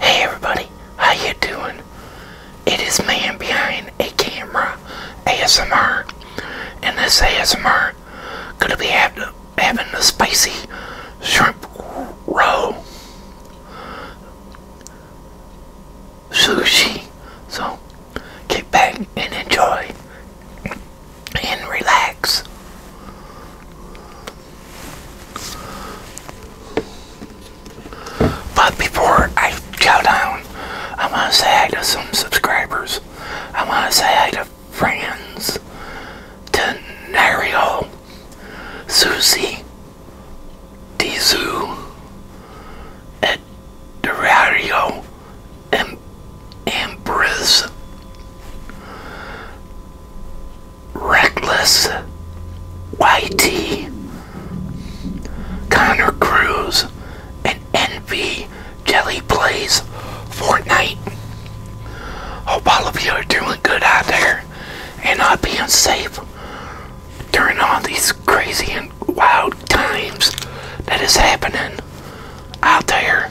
Hey everybody, how you doing? It is man behind a camera ASMR, and this ASMR gonna be having the spicy shrimp roll sushi. So get back and enjoy and relax. But before I go down, I want to say hi to some subscribers. I want to say hi to friends, to Nario, Susie, Dizu, Ed Durario, and Ambriz, Reckless, YT, Connor Cruz, and Envy Jelly Plays Fortnite. Hope all of you are doing good out there and not being safe during all these crazy and wild times that is happening out there.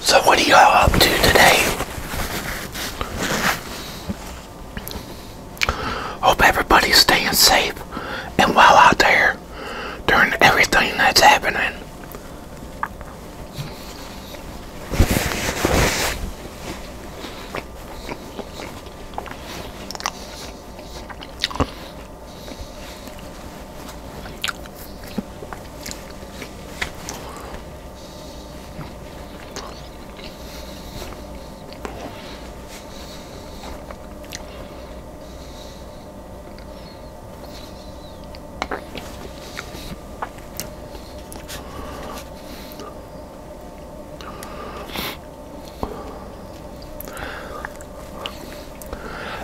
So what are y'all up to today? Hope everybody's staying safe and well out there during everything that's happening.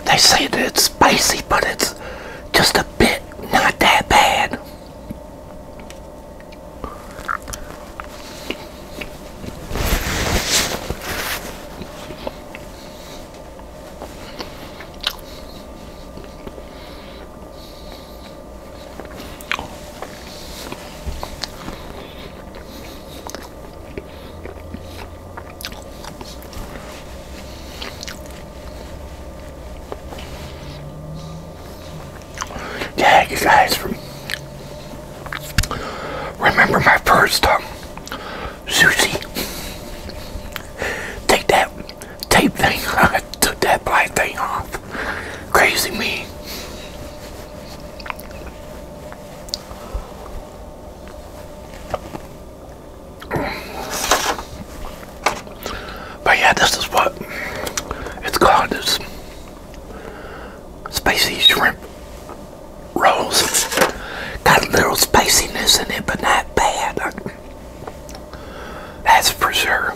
They say that it's spicy, but it's just a bit not that bad. Tag you guys for Remember my first um, sushi? Take that tape thing. I took that black thing off. Crazy me. But yeah, this is what it's called. This spicy shrimp rolls. Got a little spiciness in it, but not bad. That's for sure.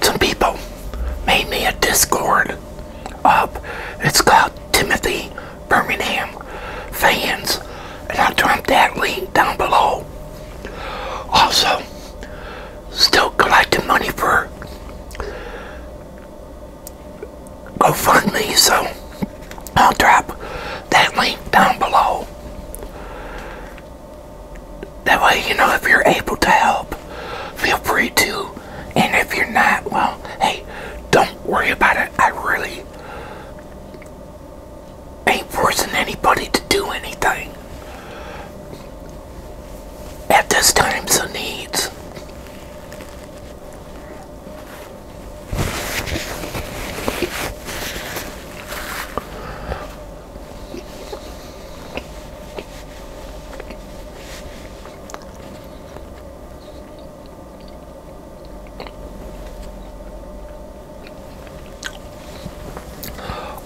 some people made me a Discord up. It's called Timothy Birmingham Fans, and I'll drop that link down below. Also, still collecting money for GoFundMe, so I'll drop that link down below. That way, you know, if you're able to help, feel free to. And if you're not, well, hey, don't worry about it. I really ain't forcing anybody to do anything. At this time, so needs.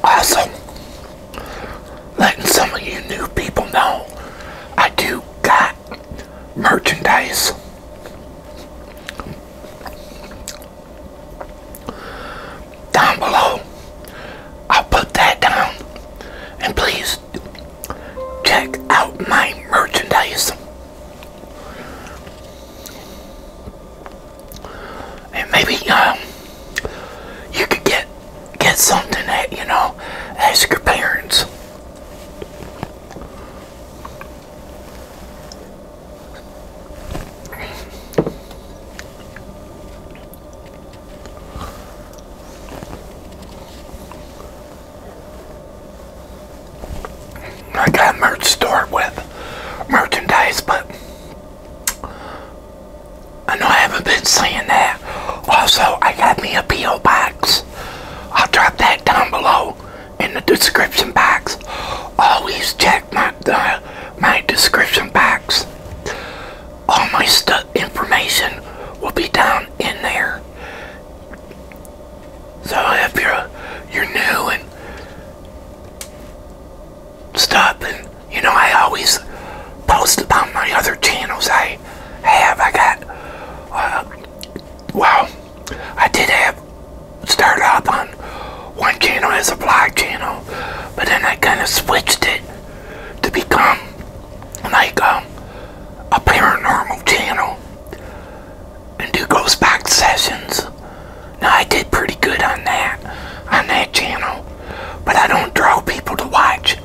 Also, letting some of you new people know I do got merchandise down below. I'll put that down. And please check out my merchandise. And maybe um, you could get get something that, you know, ask your parents. I got a merch store with merchandise, but I know I haven't been saying that. Also, I got me a P.O. box. I'll drop that down below in the description box. Always check my, my description box all my stuff information will be down in there. So if you're you're new and stuff and you know I always post about my other channels I have I got uh, well I did have started up on one channel as a blog channel but then I kind of switched it to become like um, a paranormal channel and do ghost box sessions. Now I did pretty good on that on that channel, but I don't draw people to watch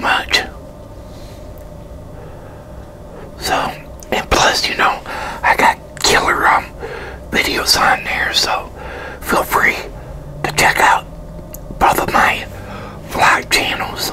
much. So and plus, you know, I got killer um videos on there, so feel free to check out both of my live channels.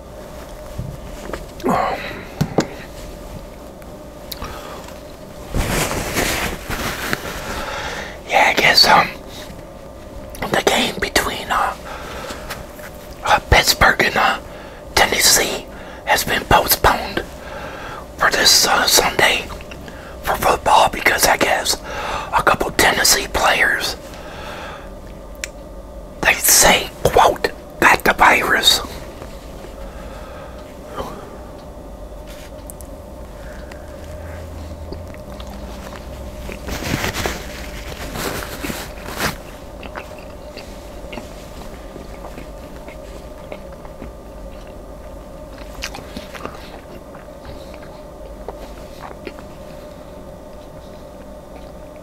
Yeah, I guess um the game between uh, uh Pittsburgh and uh, Tennessee has been postponed for this uh, Sunday for football because I guess a couple Tennessee players they say, quote, that the virus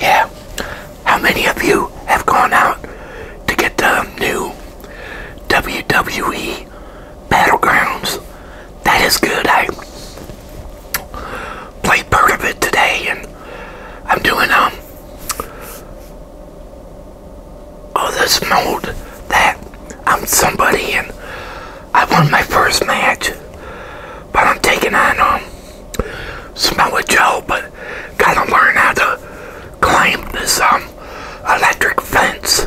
Yeah, how many of you have gone out to get the new WWE Battlegrounds. That is good. I played part of it today and I'm doing um oh this mode that I'm somebody and I won my first match but I'm taking on um Samoa Joe but gotta learn how to climb this um, electric fence.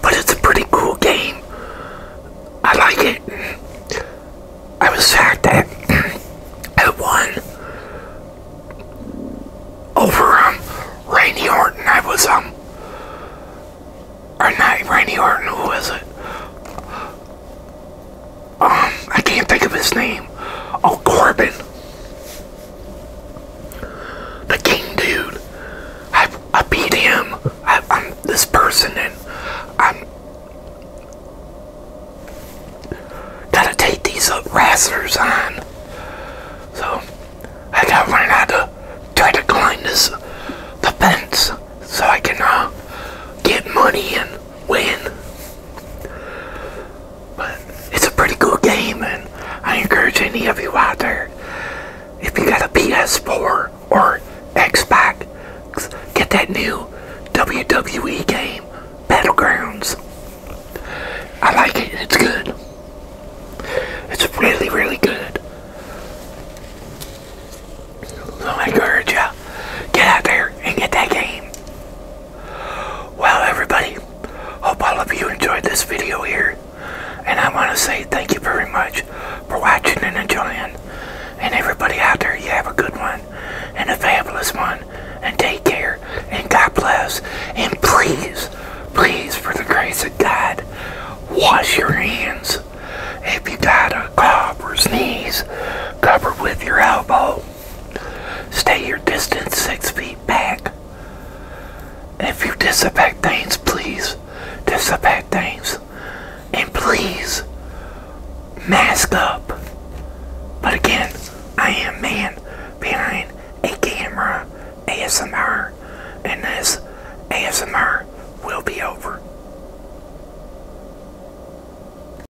But it's a pretty cool game. I like it. I was sad that I won over um, Randy Orton. I was, um, or not Randy Orton, who was it? um, I can't think of his name. Oh, Corbin. The king dude. I, I beat him. I, am this person and I'm gotta take these uh, wrestlers on. So, I gotta learn how to try to climb this the fence so I can uh, get money and win. But it's a pretty cool game, and I encourage any of you out there, if you got a PS4 or Xbox, get that new WWE game, Battlegrounds. I like it. It's good. It's really, really good. So I encourage you, get out there and get that game. Well, everybody, hope all of you enjoyed this video here. And I want to say thank you very much for watching and enjoying. And everybody out there, you have a good one and a fabulous one. And take care and God bless. And please, please, for the grace of God, wash your hands. If you got to cough or sneeze, cover with your elbow. Stay your distance six feet back. If you disinfect things, please disinfect things. And please mask up. But again, I am man behind a camera ASMR, and this ASMR will be over.